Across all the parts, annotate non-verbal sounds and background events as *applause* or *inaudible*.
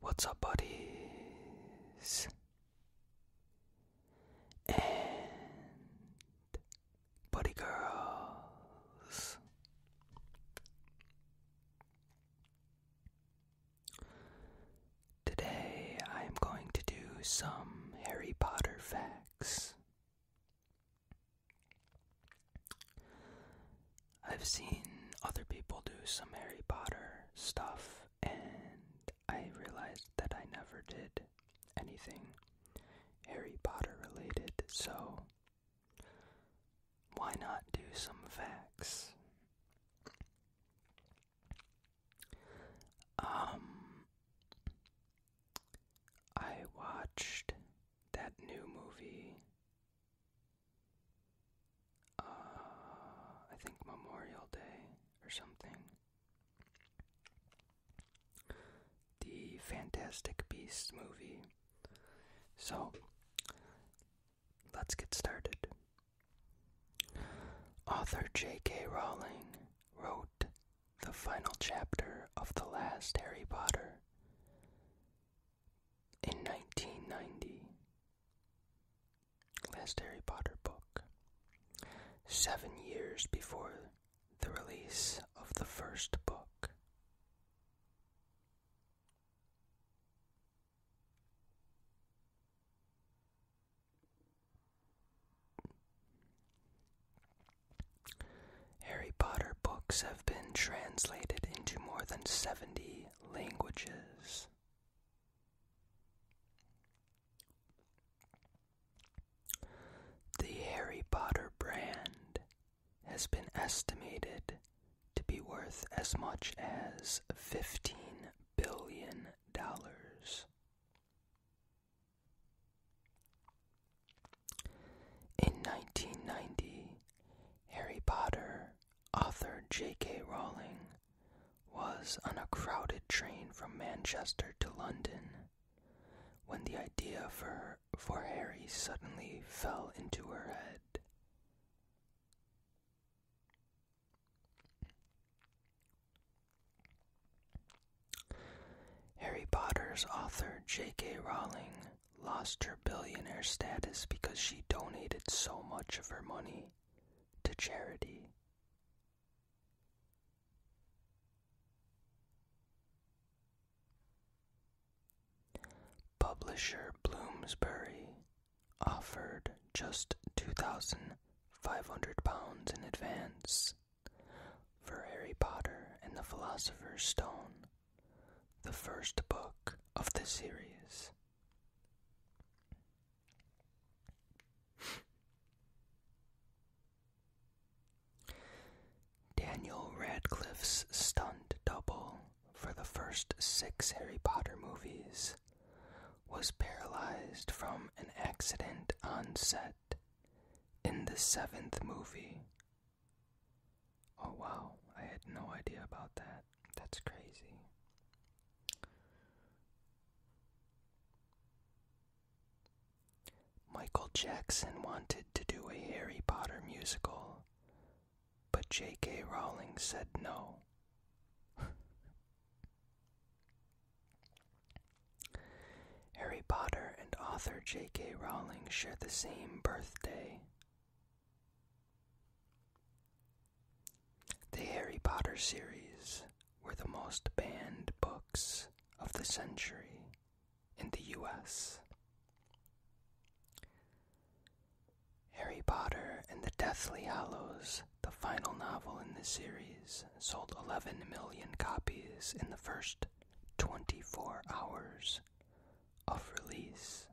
What's up, buddies? And buddy girls. Today I am going to do some Harry Potter facts. I've seen other people do some Harry Potter stuff, and I realized that I never did anything Harry Potter related, so why not do some facts? Um, I watched that new movie uh, I think Memorial Day or something. The Fantastic Beasts movie. So, let's get started. Author J.K. Rowling wrote the final chapter of the last Harry Potter in 1990, last Harry Potter book, seven years before the release of the first book. Harry Potter books have been translated into more than 70 languages. The Harry Potter brand has been estimated to be worth as much as $15 billion. In 1990, Harry Potter Author J.K. Rowling was on a crowded train from Manchester to London when the idea for, for Harry suddenly fell into her head. Harry Potter's author J.K. Rowling lost her billionaire status because she donated so much of her money to charity. Publisher Bloomsbury offered just £2,500 in advance for Harry Potter and the Philosopher's Stone the first book of the series. Daniel Radcliffe's stunt double for the first six Harry Potter movies was paralyzed from an accident on set in the seventh movie Oh wow, I had no idea about that. That's crazy. Michael Jackson wanted to do a Harry Potter musical, but J.K. Rowling said no. *laughs* Harry Potter and author J.K. Rowling share the same birthday, the Harry Potter series were the most banned books of the century in the US. Harry Potter and the Deathly Hallows, the final novel in the series, sold 11 million copies in the first 24 hours of release.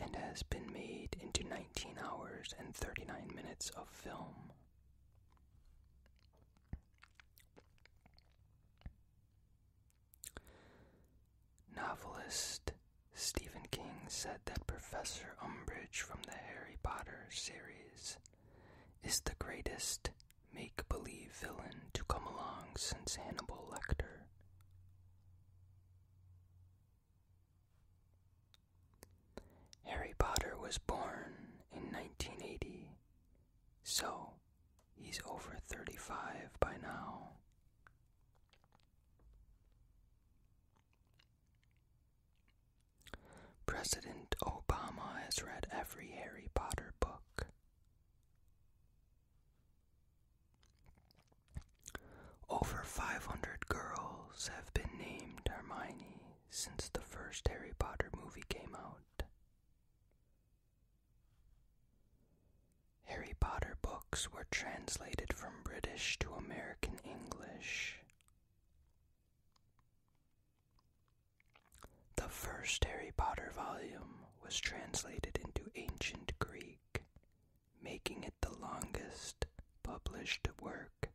and has been made into 19 hours and 39 minutes of film. Novelist Stephen King said that Professor Umbridge from the Harry Potter series is the greatest make believe villain to come along since Hannibal Lecter. Harry Potter was born in 1980, so he's over 35 by now. President Obama has read every Harry Potter book. Over 500 girls have been named Hermione since the first Harry Potter movie came out. Harry Potter books were translated from British to American English. The first Harry Potter volume was translated into ancient Greek making it the longest published work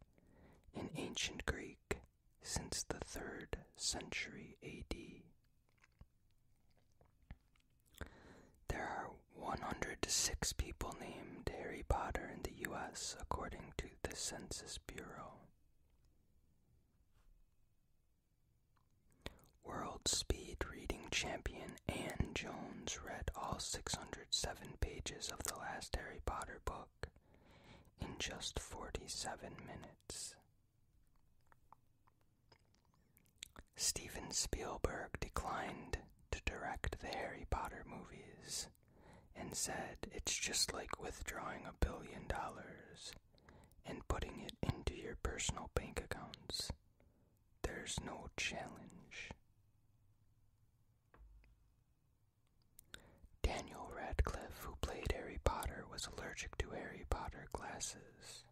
in ancient Greek since the 3rd century AD. There are 106 people named Harry Potter in the US according to the Census Bureau. World Speed Reading Champion Anne Jones read all 607 pages of the last Harry Potter book in just 47 minutes. Steven Spielberg declined to direct the Harry Potter movies and said it's just like withdrawing a billion dollars and putting it into your personal bank accounts. There's no challenge. Daniel Radcliffe, who played Harry Potter, was allergic to Harry Potter glasses.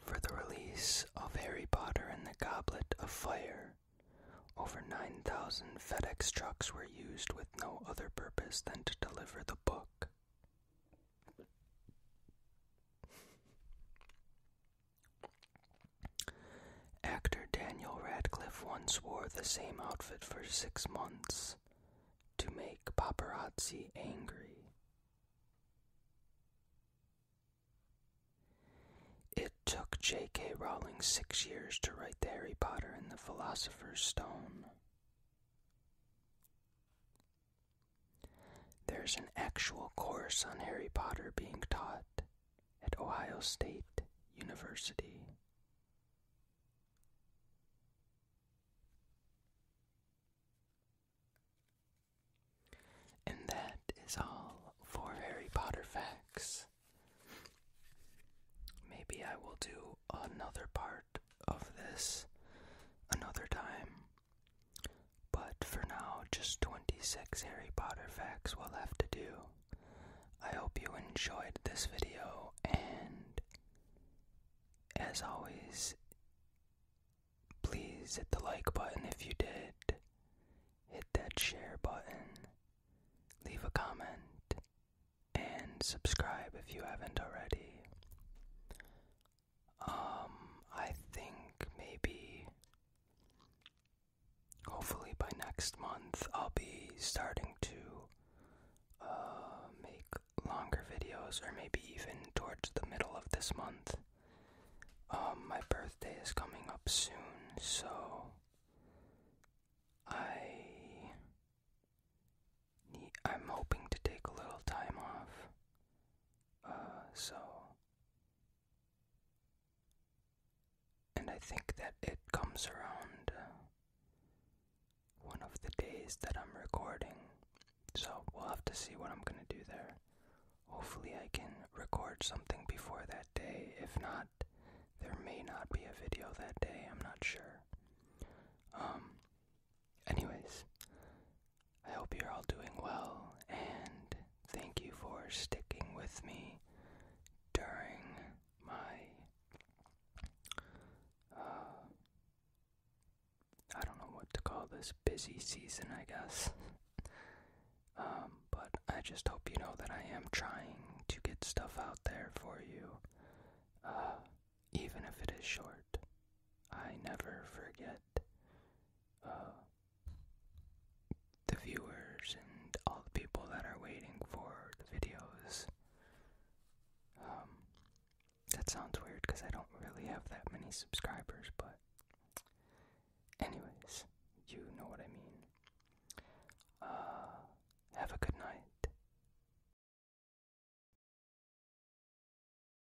For the release of Harry Potter and the Goblet of Fire, over 9,000 FedEx trucks were used with no other purpose than to deliver the book. Actor Daniel Radcliffe once wore the same outfit for six months to make paparazzi angry. It took J.K. Rowling six years to write the Harry Potter and the Philosopher's Stone. There's an actual course on Harry Potter being taught at Ohio State University. And that is all for Harry Potter facts. Maybe I will do another part of this another time. But for now, just 26 Harry Potter facts will have to do. I hope you enjoyed this video, and as always, please hit the like button if you did, hit that share button, leave a comment, and subscribe if you haven't already. Um, I think maybe hopefully by next month I'll be starting to uh, make longer videos, or maybe even towards the middle of this month. Um, my birthday is coming up soon, so I I'm hoping to take a little time off uh, so. And I think that it comes around uh, one of the days that I'm recording. So we'll have to see what I'm gonna do there. Hopefully, I can record something before that day. If not, there may not be a video that day, I'm not sure. Um, anyways, I hope you're all doing well, and thank you for sticking with me during my. Uh, I don't know what to call this busy season, I guess. um, but I just hope you know that I am trying to get stuff out there for you, uh, even if it is short. I never forget uh, the viewers and all the people that are waiting for the videos. Um, that sounds weird because I don't really have that many subscribers, but, anyways, you know what I mean. Uh, have a good night.